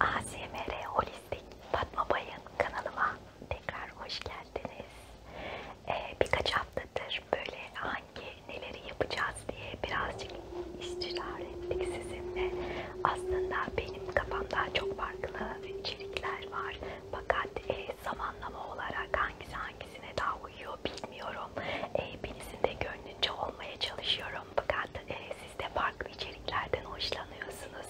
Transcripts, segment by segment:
ASMR Holistik Fatma Bay'ın kanalıma tekrar hoş geldiniz. Ee, birkaç haftadır böyle hangi neleri yapacağız diye birazcık istişare ettik sizinle. Aslında benim kafamda çok farklı içerikler var. Fakat e, zamanlama olarak hangisi hangisine daha uyuyor bilmiyorum. E, birisinde gönlünce olmaya çalışıyorum bilmiyorum fakat e, siz de farklı içeriklerden hoşlanıyorsunuz.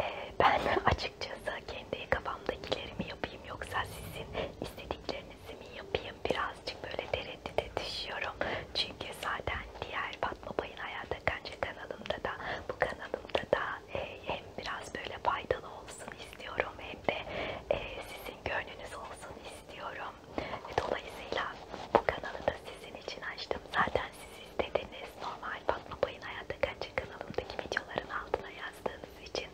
E, ben açıkçası kendi kafamdakilerimi yapayım yoksa sizin istediklerinizi mi yapayım birazcık böyle tereddüte düşüyorum. Çünkü zaten diğer Fatma Bay'ın Hayata Kanca kanalımda da bu kanalımda da e, hem biraz böyle faydalı olsun istiyorum hem de e, sizin gönlünüz olsun istiyorum. Ve dolayısıyla bu kanalı da sizin için açtım. Zaten siz istediniz. Normal Fatma Pay'ın Hayatta Kaçı kanalındaki videoların altına yazdığınız için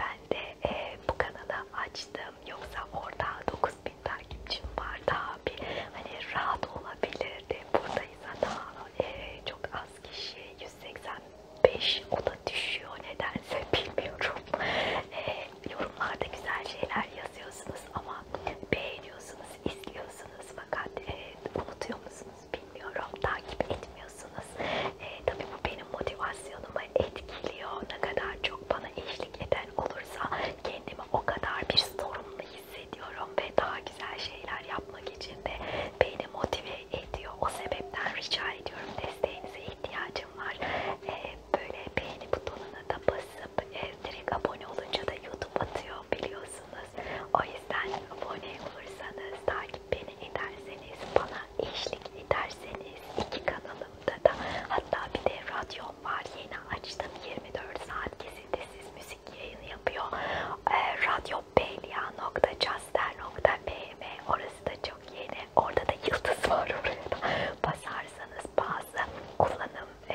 ben de e, bu kanalı açtım. Yoksa orada 9000 takipçim var. Daha bir hani rahat olabilirdi. Buradaysa daha e, çok az kişi 185 o da düşüyor nedense bilmiyorum. E, yorumlarda güzel şeyler yazıyorsunuz ama beğeniyorsunuz, izliyorsunuz fakat e, unutuyor musunuz bilmiyorum, takip etmiyorsunuz. E, tabii bu benim motivasyonumu etkiliyor. Ne kadar çok bana eşlik eden olursa kendimi o kadar bir sorumlu hissediyorum ve daha güzel şeyler yapmak için de beni motive ediyor. O sebepten rica ediyorum desteğinize ihtiyacım var. E, böyle beğeni butonuna da basıp e, direkt abone olunca da YouTube atıyor biliyorsunuz. O yüzden abone olursanız, takip beni ederseniz, bana eşlik ederseniz iki kanalımda da hatta bir de radyom var yeni açtım 24 saat kesintisiz müzik yayını yapıyor. E, radyo belya.caster.mm orası da çok yeni. Orada da yıldız var orada. Basarsanız bazı kullanım e,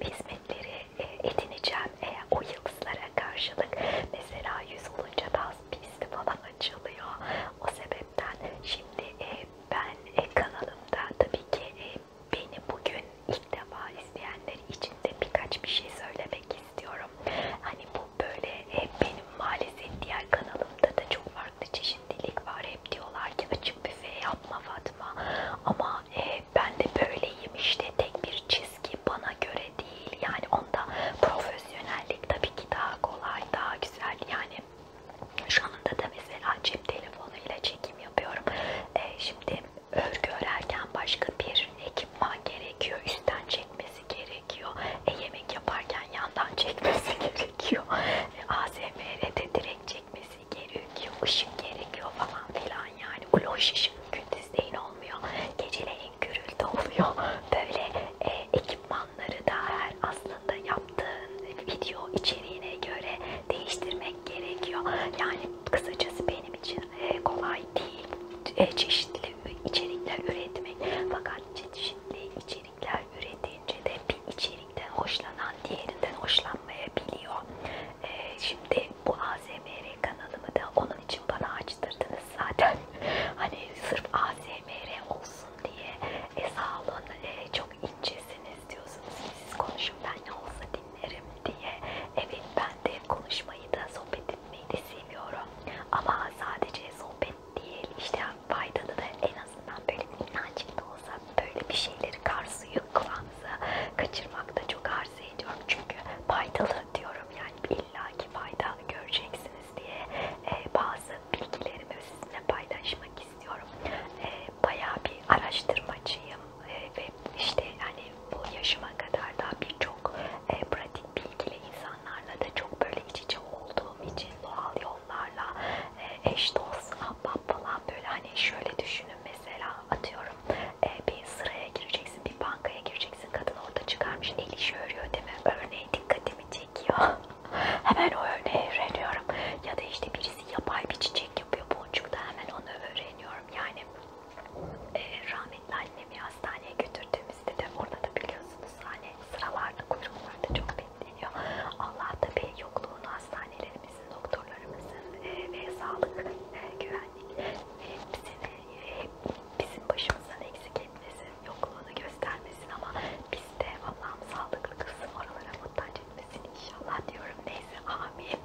hizmetleri e, edineceğim e, o yıldızlara karşılık mesela yüz olunca daha pisti falan açılıyor o sebepten şimdi e, ben e, kanalımda tabii ki e, beni bugün ilk defa izleyenler için de birkaç bir şey söylemek istiyorum hani bu böyle e, benim maalesef diğer kanalımda da çok farklı çeşitli şimdilik var hep diyorlar ki açık büfe yapma Fatma ama e, ben de böyleyim işte tek bir çizgi bana göre değil yani onda profesyonellik tabii ki daha kolay daha güzel yani şu anda da mesela cep telefonuyla çekim yapıyorum e, şimdi örgü örerken başka bir ekipman gerekiyor üstten çekmesi gerekiyor e, yemek yaparken yandan çekmesi gerekiyor e, ASMR'de direkt çekmesi gerekiyor, ışık gerekiyor falan filan yani. O loş ışık gündüzleyin olmuyor. Geceleyin gürültü oluyor. Böyle e, ekipmanları da her aslında yaptığın video içeriğine göre değiştirmek gerekiyor. Yani kısacası benim için e, kolay değil. E, çeşitli içerikler üretmek. Fakat çeşitli içerikler üretince de bir içerik birlikten hoşlanan diğerinden hoşlanmayabiliyor. Ee, şimdi bu ASMR kanalımı da onun için bana açtırdınız zaten. hani sırf ASMR olsun diye e, sağ olun e, çok incesiniz diyorsunuz. Siz konuşun ben ne olsa dinlerim diye. Evet ben de konuşmayı da sohbet etmeyi de seviyorum. Ama sadece sohbet değil işte faydalı da en en azından böyle minnacık da olsa böyle bir şeyleri karsuyu kulağınıza kaçırmakta çok arzu ediyorum. Çünkü faydalı diyorum yani illaki fayda göreceksiniz diye e, bazı bilgilerimi sizinle paylaşmak istiyorum. E, bayağı bir araştırmacıyım e, ve işte yani bu yaşıma kadar da birçok e, pratik bilgiyle insanlarla da çok böyle iç içe olduğum için doğal yollarla e, eş dost ahbap falan böyle hani şöyle düşünün mesela atıyorum e, bir sıraya gireceksin bir bankaya gireceksin kadın orada çıkarmış el işi örüyor değil mi? Örneği dikkatimi çekiyor. hemen o örneği öğreniyorum. Ya da işte birisi yapay bir çiçek yapıyor boncukta hemen onu öğreniyorum. Yani e, rahmetli annemi hastaneye götürdüğümüzde de orada da biliyorsunuz hani sıralarda kuyruklarda çok belli geliyor. Allah tabii yokluğunu hastanelerimizin, doktorlarımızın e, ve sağlık e, güvenlik e, hepsini, e, bizim başımızdan eksik etmesin, yokluğunu göstermesin ama biz de Allah'ım sağlıklı kızım oralara muhtaç etmesin inşallah diyorum. Neyse amin.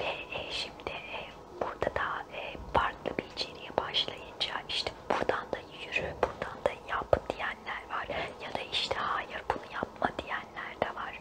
Ve e, şimdi e, burada da e, farklı bir içeriğe başlayınca işte buradan da yürü, buradan da yap diyenler var ya da işte hayır bunu yapma diyen bilenler de var.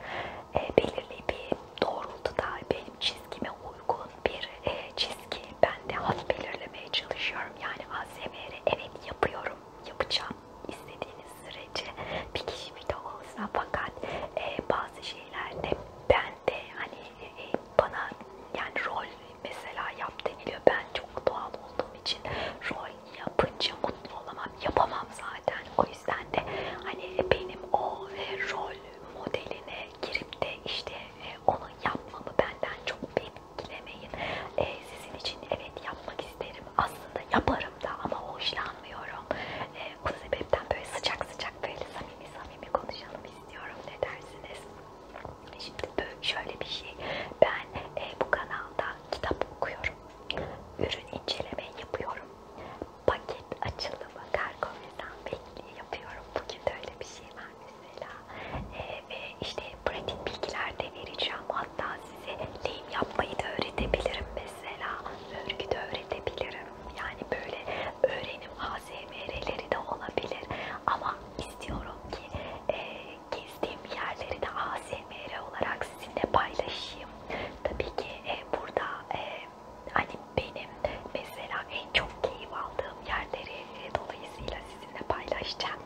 E, belirli bir doğrultuda benim çizgime uygun bir e, çizgi. Ben de hat belirlemeye çalışıyorum. Yani ASMR'i evet yapıyorum, yapacağım istediğiniz sürece bir kişi bir de olsa fakat e, bazı şeylerde ben de hani e, bana yani rol mesela yap deniliyor. Ben çok doğal olduğum için rol yapınca mutlu olamam. Yapamam zaten. O yüzden de hani benim o e, rol modeline girip de işte e, onu yapmamı benden çok beklemeyin. E, sizin için evet yapmak isterim. Aslında yaparım da ama hoşlanmıyorum. E, o sebepten böyle sıcak sıcak böyle samimi samimi konuşalım istiyorum. Ne dersiniz? Şimdi böyle şöyle bir şey. Ben e, bu kanalda kitap okuyorum yapıyorum. Ürün inceleme yapıyorum. Paket açılımı kargo mesafeliği yapıyorum. Bugün de öyle bir şey var mesela. Ee, ve işte pratik bilgiler de vereceğim. Hatta size lehim yapmayı da öğretebilirim mesela. Örgü de öğretebilirim. Yani böyle öğrenim ASMR'leri de olabilir. Ama istiyorum ki e, gezdiğim yerleri de ASMR ASMR olarak sizinle paylaşayım. Tabii ki e, burada e, hani benim mesela en çok keyif aldığım yerleri e, dolayısıyla sizinle paylaşacağım.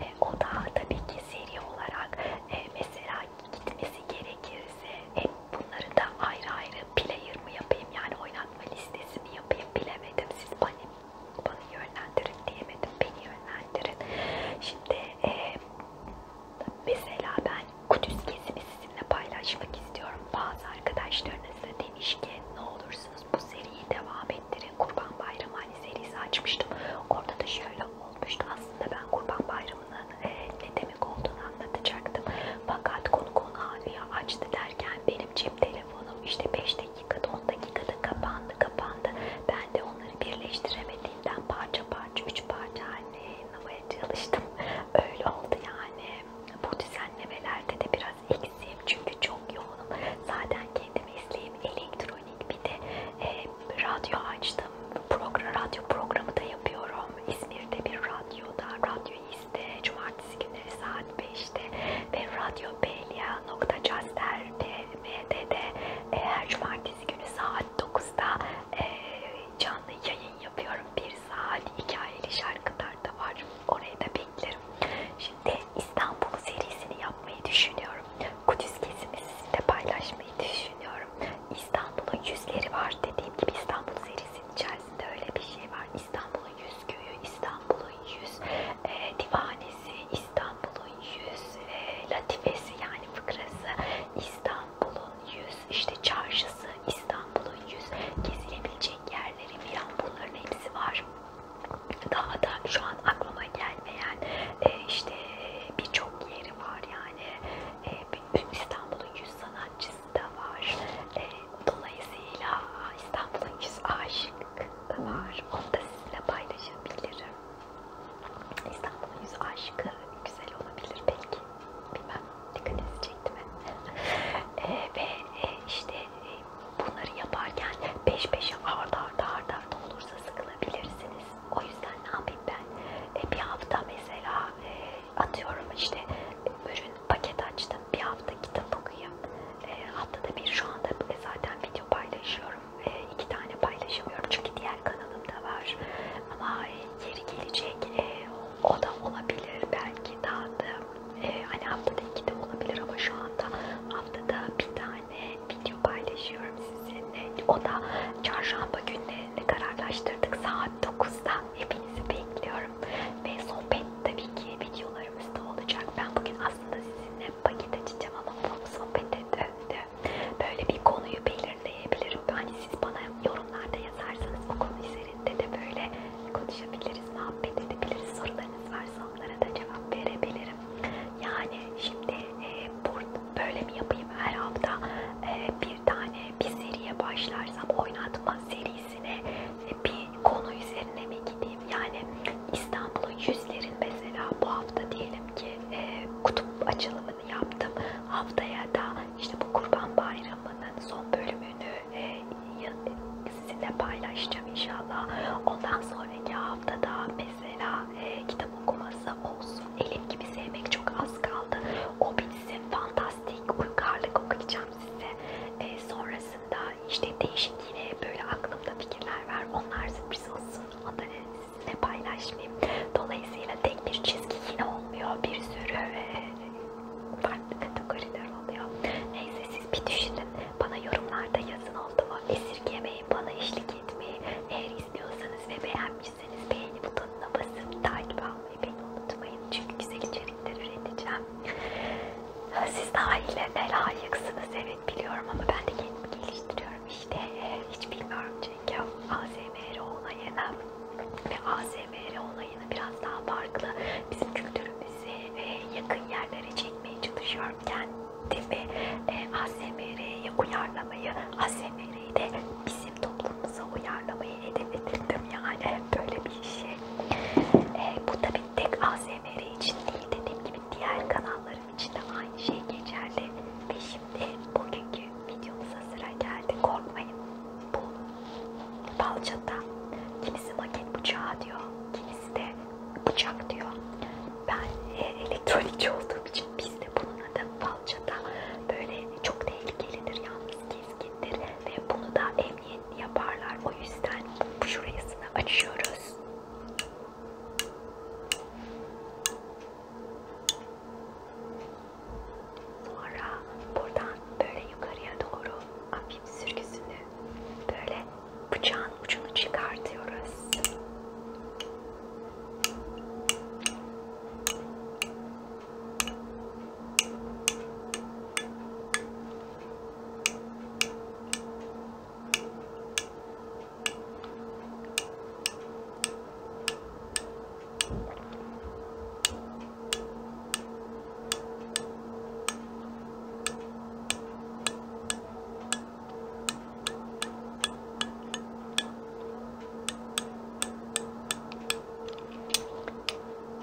E, o da tabii ki seri olarak e, mesela gitmesi gerekirse e, bunları da ayrı ayrı player mı yapayım yani oynatma listesi mi yapayım bilemedim. Siz bana, bana yönlendirin diyemedim. Beni yönlendirin. Şimdi e, Mesela ben Kudüs gezimi sizinle paylaşmak istiyorum. Bazı arkadaşlarınız da demiş ki ne olursunuz bu seriyi devam ettirin. Kurban Bayramı hani serisi açmıştım. Orada da şöyle olmuştu. Aslında ben Kurban Bayramı'nın e, ne demek olduğunu anlatacaktım. Fakat konu konuya açtı derken benim cep telefonum işte 5 dakikada 10 dakikada kapandı kapandı. Ben de onları birleştiremediğimden parça parça parça, üç parça hani namaya çalıştım. Öyle oldu yani. Bu düzenlemelerde de biraz eksiğim çünkü çok yoğunum. Zaten kendimi izleyeyim elektronik bir de e, radyo açtım. Program, radyo programı da yapıyorum. İzmir'de bir radyoda, radyo izle cumartesi günleri saat 5'te ve radyo belya.caster.md'de e, her cumartesi günü saat saat 9'da e, canlı yayın yapıyorum. Bir saat hikayeli şarkılar da var. Orayı da beklerim. Şimdi İstanbul serisini yapmayı düşünüyorum. Kudüs gezimizi sizinle paylaşmayı düşünüyorum. İstanbul'un yüzleri var. Dediğim gibi İstanbul serisinin içerisinde öyle bir şey var. İstanbul'un yüz köyü, İstanbul'un yüz e, divanesi, İstanbul'un yüz e, latifesi yani fıkrası, İstanbul İstanbul'un yüz işte çarşısı, İstanbul'un yüz gezilebilecek yerleri filan bunların hepsi var. Daha da şu an aklıma gelmeyen e, işte birçok yeri var yani e, İstanbul'un yüz sanatçısı da var. E, dolayısıyla İstanbul'un yüz aşık da var. Onu da sizinle paylaşabilirim. İstanbul yüz aşkı güzel olabilir belki. Bilmem dikkat edecektim e, ee, ve e, işte e, bunları yaparken peş peşe arda arda arda arda olursa sıkılabilirsiniz. O yüzden ne yapayım ben? E, bir hafta mesela e, atıyorum işte e, ürün paket açtım. Bir hafta kitap okuyayım. E, haftada bir şu anda e, zaten video paylaşıyorum. Ee, iki tane paylaşamıyorum çünkü diğer kanalımda var ama e, yeri gelecek e, o da olabilir belki daha da e, hani haftada iki de olabilir ama şu anda haftada bir tane video paylaşıyorum sizinle o da çarşamba günlerini kararlaştırdık saat 9'da hepinizi bekliyorum ve sohbet tabii ki videolarımızda olacak ben bugün aslında sizinle paket açacağım ama bu sohbet de böyle bir konuyu belirleyebilirim. Hani siz bana yorumlarda yazarsanız o konu üzerinde de böyle konuşabiliriz, muhabbet edebiliriz. Sorularınız varsa onlara da cevap verebilirim. Yani şimdi e, böyle mi yapayım her hafta e, bir tane bir seriye başlarsam oynatma serisine e, bir konu üzerine mi gideyim? Yani İstanbul'un yüzlerin mesela bu hafta diyelim ki e, kutup açılımı tanıtımını yaptım. Haftaya da işte bu Kurban Bayramı'nın son bölümünü e, sizinle paylaşacağım inşallah. Ondan sonraki haftada mesela e, kitap okuması olsun. Elif gibi sevmek çok az kaldı. O bitsin. Fantastik uygarlık okuyacağım size. E, sonrasında işte değişik yine böyle aklımda fikirler var. Onlar sürpriz olsun. Onları sizinle paylaşmayayım. Dolayısıyla tek bir çizgi yine olmuyor. Bir sürü e, farklı kategoriler oluyor. Neyse siz bir düşünün. Bana yorumlarda yazın oldu mu? Esirgemeyin bana eşlik etmeyi. Eğer istiyorsanız ve beğenmişseniz beğeni butonuna basıp takip almayı beni unutmayın. Çünkü güzel içerikler üreteceğim. Siz daha iyilerine layıksınız evet biliyorum ama ben de kendimi geliştiriyorum işte. Hiç bilmiyorum önceki ASMR onayını ve ASMR onayını biraz daha farklı bizim kültürümüze ve yakın yerlere çekmeye çalışıyorum kendimi e, ASMR'ye uyarlamayı, ASMR'yi de bizim toplumumuza uyarlamayı hedef edindim yani böyle bir şey. E, bu tabi tek ASMR için değil dediğim gibi diğer kanallarım için de aynı şey geçerli ve Şimdi bugünkü videomuza sıra geldi. Korkmayın. Bu balçata kimisi maket bıçağı diyor, kimisi de bıçak diyor. Ben e, elektronikçi olduğum için bizde bunun adı balçata. Böyle çok tehlikelidir, yalnız keskindir ve bunu da emniyetli yaparlar. O yüzden şurasını açıyoruz. Sonra buradan böyle yukarıya doğru hafif sürgüsünü böyle bıçağın ucunu çıkartıyoruz.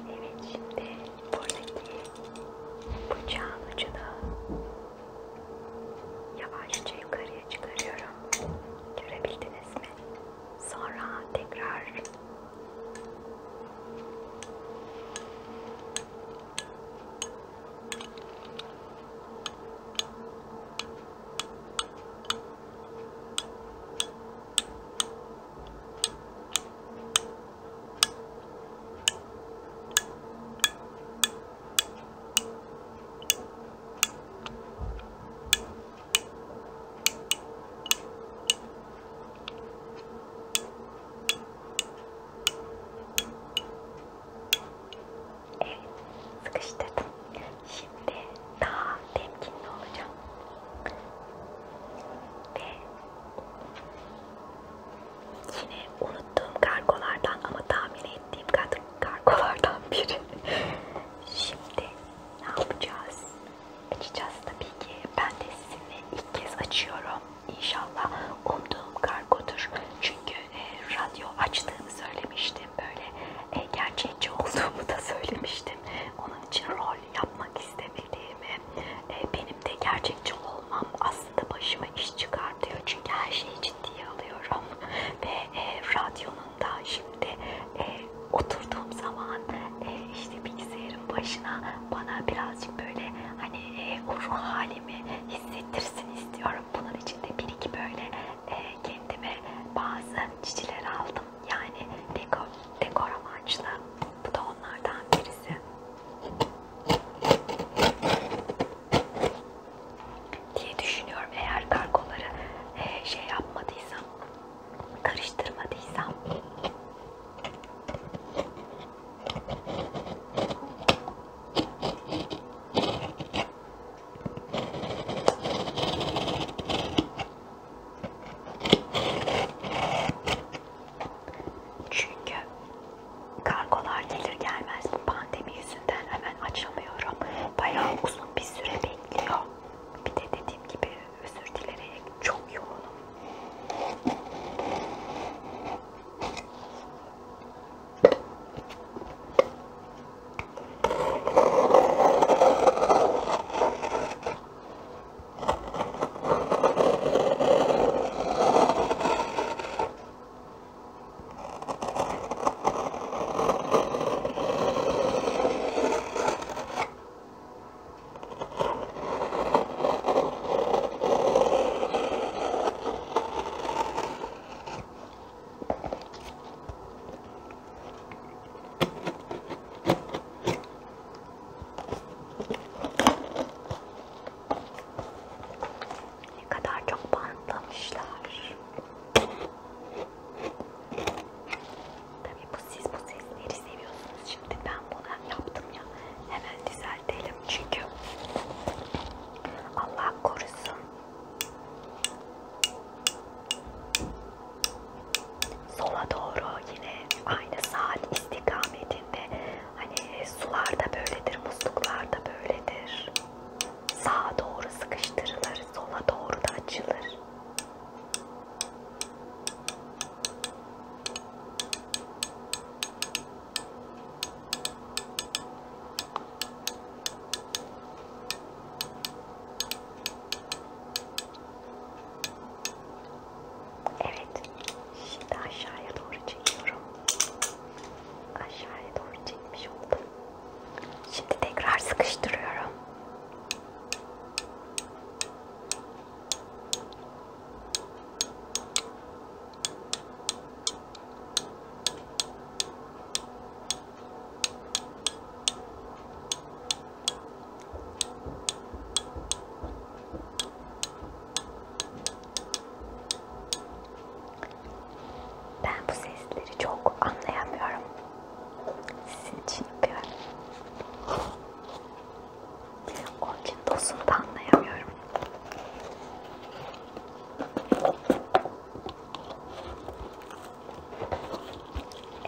Evet şimdi buradaki bıçağın ucunu yavaşça yukarıya çıkarıyorum. Görebildiniz beğendiniz mi? Sonra tekrar Evet, sıkıştırdım. Şimdi daha temkinli olacağım. Ve yine unuttuğum kargolardan ama tahmin ettiğim kargolardan biri Şimdi ne yapacağız? Açacağız tabii ki. Ben de sizinle ilk kez açıyorum. İnşallah umduğum kargodur. Çünkü e, radyo açtığımı söylemiştim. Böyle e, gerçekçi olduğumu da söylemiştim. Onun için rol yapmak istemediğimi, e, benim de gerçekçi olmam aslında başıma iş çıkartıyor. Çünkü her şeyi ciddiye alıyorum ve e, radyonun da şimdi e, oturduğum zaman e, işte bilgisayarın başına bana birazcık böyle hani e, o ruh halimi hissettirsin istiyorum. Bunun için de bir iki böyle e, kendime bazı çiçekler aldım. Yani dekor, dekor amaçlı. Bu da onlardan birisi diye düşünüyorum. Eğer kargoları e, şey yapmadıysam, karıştırmadıysam. Çünkü kargolar gelir gelmez bu pandemi yüzünden hemen açamıyorum. Bayağı uzun bir süre bekliyor. Bir de dediğim gibi özür dileyerek çok yoğunum. Ne kadar çok bantlamışlar. Tabii bu siz bu sesleri seviyorsunuz. Şimdi ben bunu yaptım ya. Hemen düzeltelim çünkü Allah korusun. Sola doğru yine aynı saat istikametinde hani sularda böyledir, musluklarda böyledir sağa doğru sıkıştırılır, sola doğru da açılır. Evet, şimdi aşağıya doğru çekiyorum. Aşağıya doğru çekmiş oldum. Şimdi tekrar sıkıştırıyorum. Ben bu sesleri çok anlayamıyorum. Sizin için yapıyorum. Onun için dosunu da anlayamıyorum.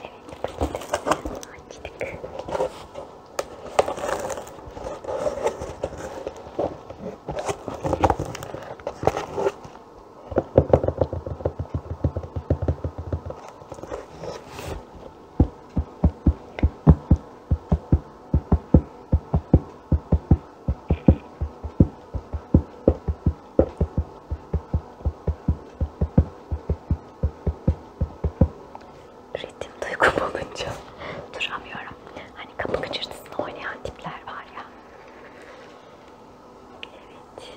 Evet, patatesini açtık. Ritim duygum olunca duramıyorum. Hani kapı gıcırtısını oynayan tipler var ya. Evet.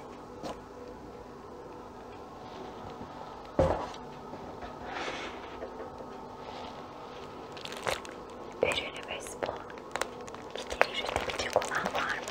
Ürünümüz bu. Kitleri üretebilecek olan var mı?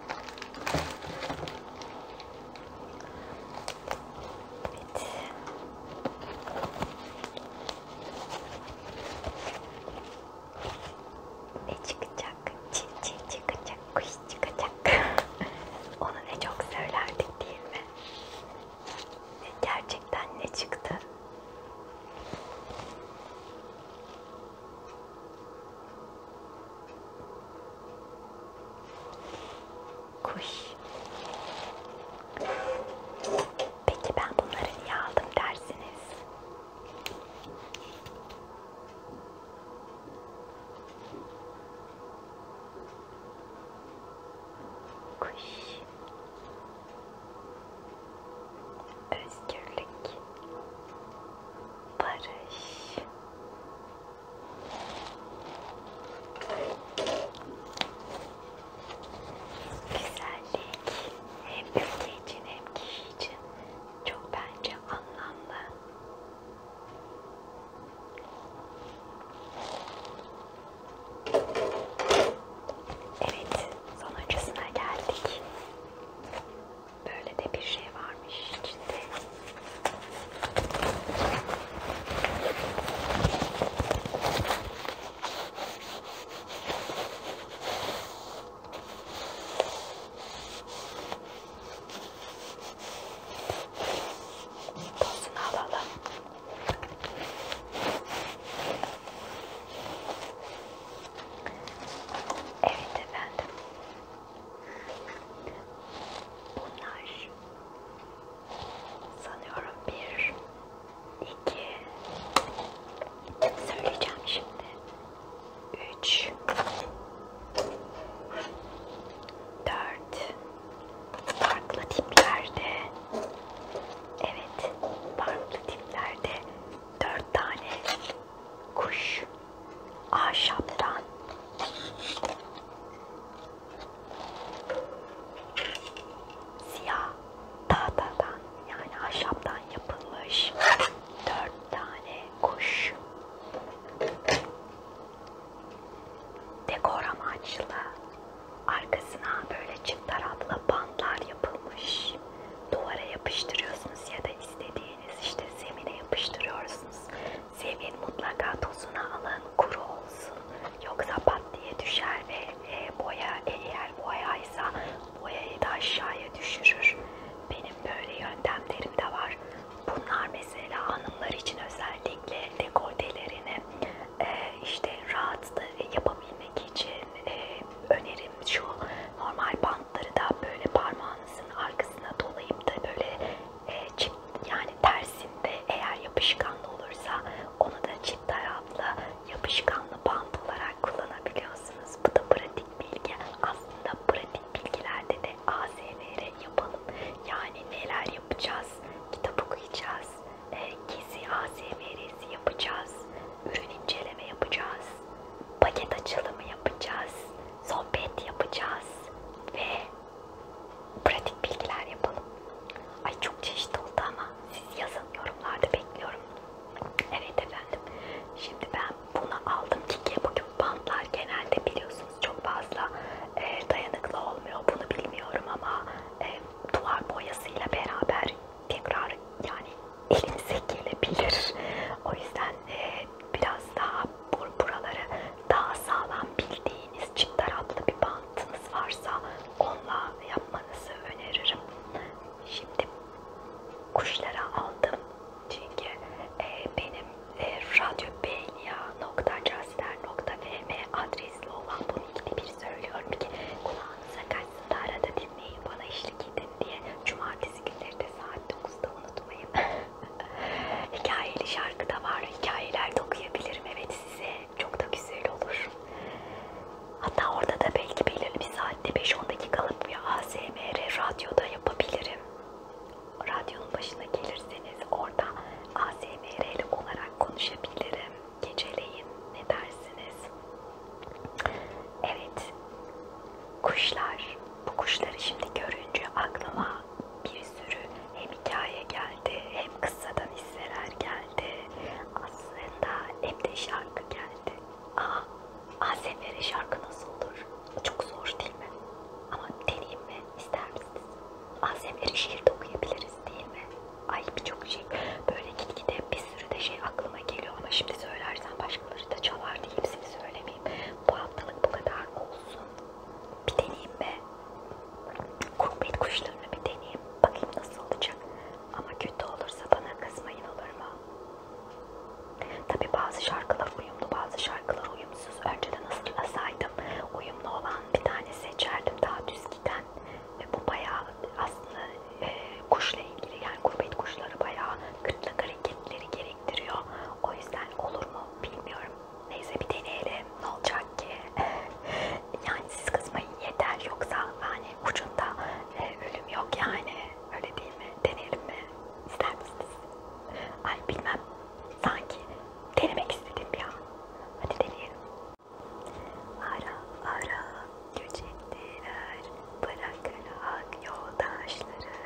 Ne çıkacak? Çil çil çıkacak, kuş çıkacak. Onu ne çok söylerdik değil mi? Gerçekten ne çıktı? Kuş. Peki ben bunları niye aldım dersiniz? Kuş. Özgürlük. Barış. Güzellik hem ülke için hem kişi için çok bence anlamlı. Evet, sonuncusuna geldik. Böyle de bir şey varmış içinde. Tozunu alalım. Evet efendim. Bunlar sanıyorum bir, iki, söyleyeceğim şimdi, üç, dört, farklı tiplerde, evet farklı tiplerde dört tane kuş, ahşaptan. Siyah tahtadan yani ahşaptan yapılmış dört tane kuş. Dekor amaçlı arkasına böyle çift taraflı bantlar yapılmış. Duvara yapıştırıyorsunuz ya da istediğiniz işte zemine yapıştırıyorsunuz. Zemin mutlaka tozuna alın, kuru olsun. Yoksa pat diye düşer ve e, boya e, eğer boyaysa boyayı da aşağıya düşürür. Benim böyle yöntemlerim de var. Bunlar mesela hanımlar için özellikle dekoltelerini e, işte rahat yapabilmek için e, önerim şu normal bantları da böyle parmağınızın arkasına dolayıp da böyle e, çift yani tersinde eğer yapışkanlı olursa onu da çift taraflı yapışkanlı bant olarak kullanabiliyorsunuz. Bu da pratik bilgi. Aslında pratik bilgilerde de ASMR yapalım. Yani neler yapacağız? Kitap okuyacağız. E, gezi ASMR'si yapacağız. Ürün inceleme yapacağız. Paket açılımı yapacağız sohbet yapacağız ve pratik bilgiler yapalım. Ay çok çeşitli oldu ama siz yazın yorumlarda bekliyorum. Evet efendim. Şimdi ben bunu aldım ki bugün bantlar genelde biliyorsunuz çok fazla e, dayanıklı olmuyor. Bunu bilmiyorum ama e, duvar boyasıyla beraber tekrar yani elinize gelebilir. O yüzden e, biraz daha buraları daha sağlam bildiğiniz çift taraflı bir bantınız varsa onunla yapmanızı öneririm. Şimdi kuşlara aldım çünkü e, benim e, radyobeynia.casler.vm adresli olan bunu ikili bir söylüyorum ki kulağınıza kaçsın da arada dinleyin bana eşlik edin diye cumartesi günleri de saat 9'da unutmayın. Hikayeli şarkı da var. Hikayeler de okuyabilirim. Evet size çok da güzel olur. Hatta orada da belki belirli bir saatte 5-10 dakikalık bir ASMR radyoda yapabilirim. Radyonun başına gelirseniz orada ASMR'li olarak konuşabilirim. Geceleyin ne dersiniz? Evet. Kuşlar bu kuşları şimdi görünce aklıma bir sürü hem hikaye geldi, hem kıssadan hisseler geldi. Aslında hep de şarkı geldi. Aa, ASMR şarkı nasıl olur? Çok zor değil mi? Ama deneyim mi? İster misiniz? ASMR şiir de okuyabiliriz değil mi? Ay birçok şey. Böyle gitgide bir sürü de şey aklıma geliyor ama şimdi söylersem başkaları da çalar diye hepsini söyle miyim? Bu haftalık bu kadar olsun. Bir deneyeyim mi? Kurbet kuşlarını bir deneyeyim. Bakayım nasıl olacak. Ama kötü olursa bana kızmayın olur mu? Tabi bazı şarkılar uyumlu, bazı şarkılar uyumsuz. Önceden hazırlasaydım uyumlu olan bir tane seçerdim daha düz giden. Ve bu bayağı aslında e, kuşla ilgili yani kurbet kuşları bayağı kıtlık hareketleri gerektiriyor. O yüzden olur mu bilmiyorum. Neyse bir deneyelim. Ne olacak ki? yani siz kızmayın yeter. Yoksa hani ucunda e, ölüm yok yani. Öyle değil mi? Deneyelim mi? İster misiniz? Ay bilmem. Sanki denemek istedim ya. Hadi deneyelim. Ara ara göç ettiler. Bırakırak yoldaşları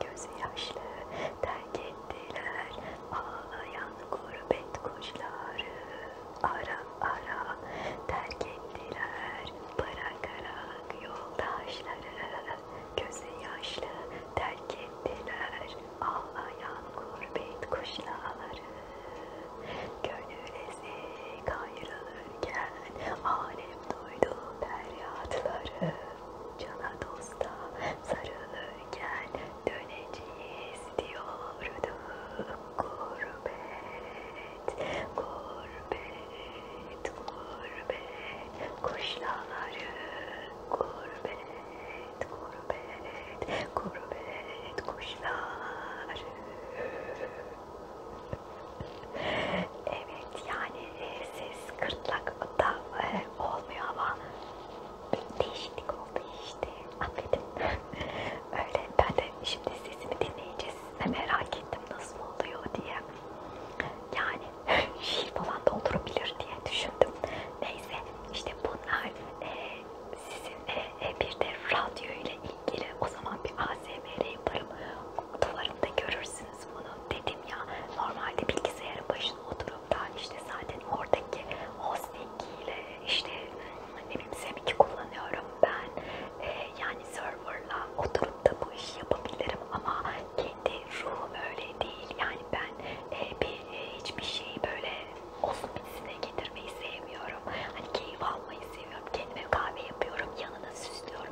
gözü yaşlı terk ettiler ağlayan gurbet kuşları ara ara terk ettiler bırakarak yoldaşları gözü yaşlı terk ettiler ağlayan gurbet kuşları gönül ezik ayrılırken alem duydu feryatları Cana dosta sarılı gel döneceğiz diyordu Gurbet, gurbet, gurbet Kuşlaları gurbet, gurbet, gurbet Kuşları evet yani e, siz kırtlakta e, olmuyor ama bir değişiklik oldu işte. Affedin. Öyle ben de şimdi sesimi dinleyince siz merak ettim nasıl oluyor diye. Yani şiir falan da oturabilir diye düşündüm. Neyse işte bunlar e, sizin e, e, bir de radyo ile ilgili o zaman bir ASMR yaparım. Duvarımda görürsün yapacaksınız bunu dedim ya normalde bilgisayarın başına oturup da işte zaten oradaki hosting ile işte ne bileyim Semik'i kullanıyorum ben ee, yani serverla oturup da bu işi yapabilirim ama kendi ruhum öyle değil yani ben e, bir, e, hiçbir şeyi böyle olsun birisine getirmeyi sevmiyorum hani keyif almayı seviyorum kendime kahve yapıyorum yanına süslüyorum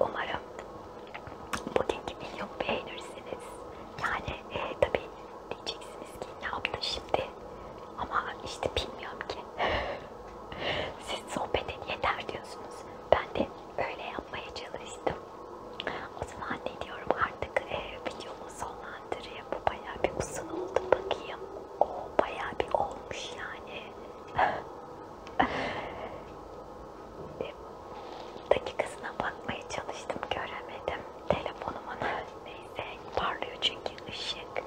Umarım pudingi milyon beğenirsiniz. Yani e, tabii diyeceksiniz ki ne yaptı şimdi ama işte bilmiyorum ki. Siz sohbet edin yeter diyorsunuz. Ben de öyle yapmaya çalıştım. O zaman ne diyorum artık e, videomu sonlandırayım. Bu bayağı bir uzun oldu bakayım. O bayağı bir olmuş yani. bir dakikasına bakmaya çalıştım göremedim telefonumun neyse parlıyor çünkü ışık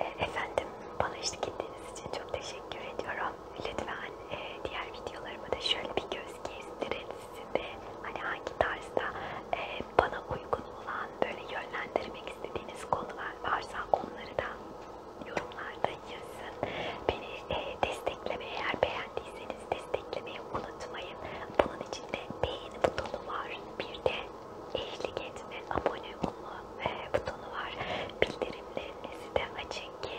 e, efendim bana işte gittiğiniz için çok teşekkür ediyorum lütfen e, diğer videolarıma da şöyle bir göz gezdirin sizin de hani hangi tarzda e, bana uygun olan böyle yönlendirmek istediğiniz konular varsa onları da yorumlarda yazın beni e, desteklemeye eğer beğendiyseniz beğenirseniz desteklemeyi unutmayın. Bunun içinde beğeni butonu var. Bir de eşlik etme, abone olma e, butonu var. Bildirimlerinizi de açın ki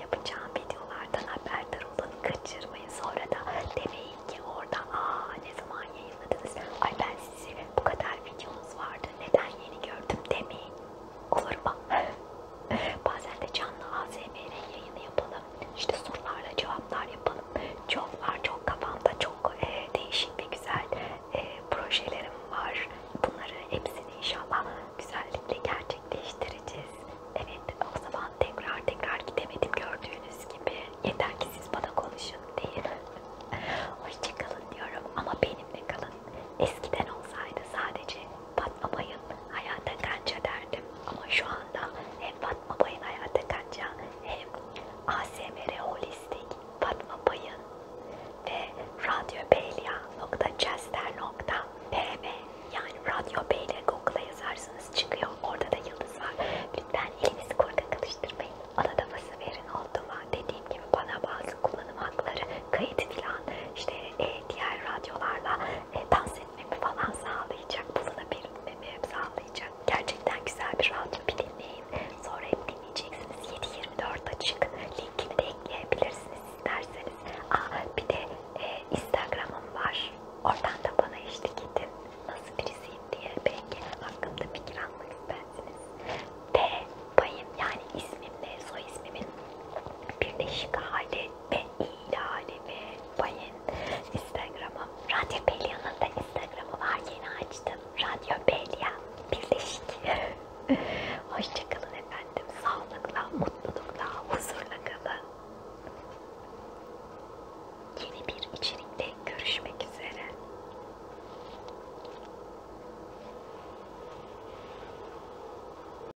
yapacağım videolardan haberdar olun. Kaçırmayın. Sonra da demeyin ki oradan aa ne zaman yayınladınız? Ay ben sizi bu kadar videonuz vardı. Neden yeni gördüm demeyin. Olur mu? Bazen de canlı ASMR yayını yapalım. İşte sorularla cevaplar yapalım. Çok var, çok kafamda çok e, değişik ve güzel e, projelerim var. Bunları hepsini inşallah güzellikle gerçekleştireceğiz. Evet, o zaman tekrar tekrar gidemedim gördüğünüz gibi. Yeter ki siz bana konuşun değil. Hoşçakalın diyorum ama benimle kalın. Eskiden olsaydı sadece Fatma Bay'ın hayata kanca derdim ama şu anda hem Fatma Bay'ın hayata kanca hem ASMR Holistik Fatma Bay'ın ve radyobeyla.chester.pm yani Radyo Beyla Google'a yazarsınız çıkıyor. Orada da yıldız var. Lütfen elinizi korkak karıştırmayın. Ana da verin oldu mu? Dediğim gibi bana bazı kullanım hakları, kayıt filan işte e, diğer radyolarla e, dans etmemi falan sağlayacak. Bunu da belirtmemi hep sağlayacak. Gerçekten güzel bir radyo bir dinleyin. Sonra hep dinleyeceksiniz. 7-24 açık. Linkini de ekleyebilirsiniz isterseniz. Aa, bir de e, Instagram'ım var. Oradan da bana eşlik edin. Nasıl birisiyim diye belki hakkımda fikir almak istersiniz. T payım yani ismimle soy ismimin birleşik hali ve iyi halimi bayın Instagram'ım. Radyo Belya'nın da Instagram'ı var. Yeni açtım. Radyo Belya. Birleşik. Hoşçakalın efendim. Sağlıkla, mutlulukla, huzurla kalın. Yeni bir içerikte görüşmek üzere.